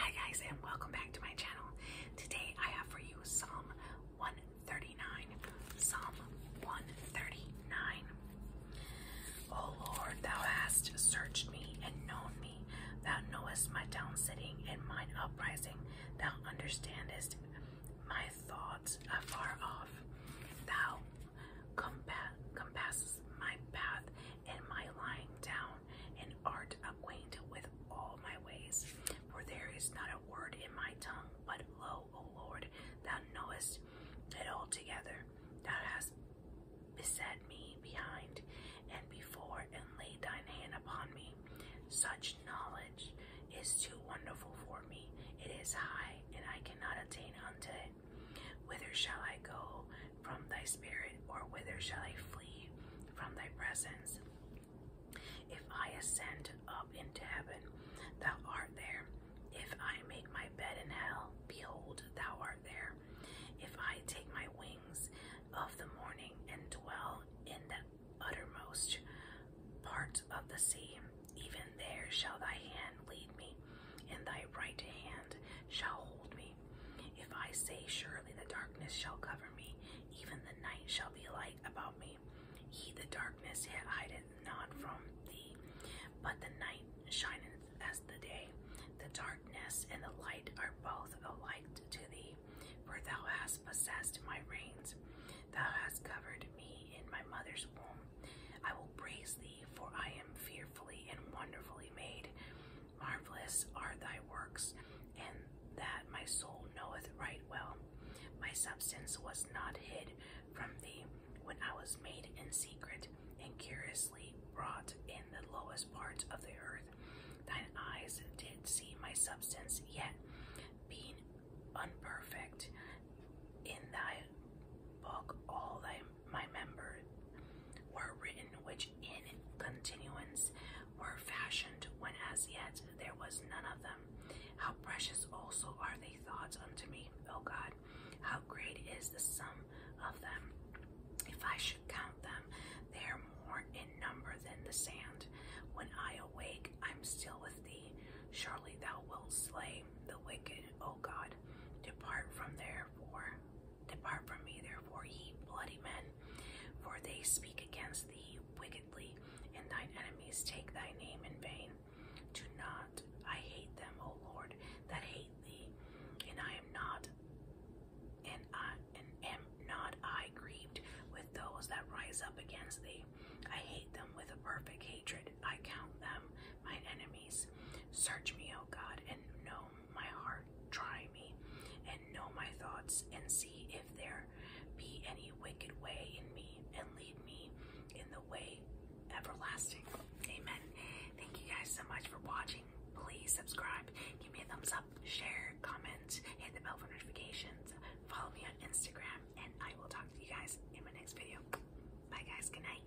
Hi guys and welcome back to my channel. Today I have for you Psalm 139. Psalm 139. O Lord, thou hast searched me and known me. Thou knowest my down sitting and mine uprising. Thou understandest my thoughts afar off. Thou compa compasses my path and my lying down, and art acquainted with all my ways. For there is not a word in my tongue, but lo, O Lord, thou knowest it altogether. Thou hast beset me behind and before, and laid thine hand upon me. Such knowledge is too wonderful for me. It is high, and I can cannot attain unto it. Whither shall I go from thy spirit, or whither shall I flee from thy presence? If I ascend up into heaven, thou art there. If I make my bed in hell, behold, thou art there. If I take my wings of the morning and dwell in the uttermost parts of the sea. Even there shall thy hand lead me, and thy right hand shall hold me. If I say, Surely the darkness shall cover me, even the night shall be light about me. He, the darkness, yet hideth not from thee, but the night shineth as the day. The darkness and the light are both alike to thee for thou hast possessed my reins. Thou hast covered me in my mother's womb. I will praise thee, for I am fearfully and wonderfully made. Marvelous are thy works, and that my soul knoweth right well. My substance was not hid from thee when I was made in secret and curiously wrought in the lowest parts of the earth. Thine eyes did see my substance, yet being unperfect in thy book all thy my members were written which in continuance were fashioned when as yet there was none of them. How precious also are they thoughts unto me, O God, how great is the sum of them. If I should count them, they are more in number than the sand. When I awake, I'm still with thee. Surely thou wilt slay the wicked, O God. Depart from therefore, depart from me, therefore, ye bloody men, for they speak against thee wickedly, and thine enemies take thy name in vain. Do not, I hate them, O Lord, that hate thee, and I am not, and I and am not I grieved with those that rise up against thee. I hate them with a perfect hatred. I count them my enemies. Search me, O God, and know my heart. Try me, and know my thoughts, and see if there be any wicked way in me, and lead me in the way everlasting. Amen. Thank you guys so much for watching. Please subscribe, give me a thumbs up, share, comment, hit the bell for notifications, follow me on Instagram, and I will talk to you guys in my next video. Bye, guys. Good night.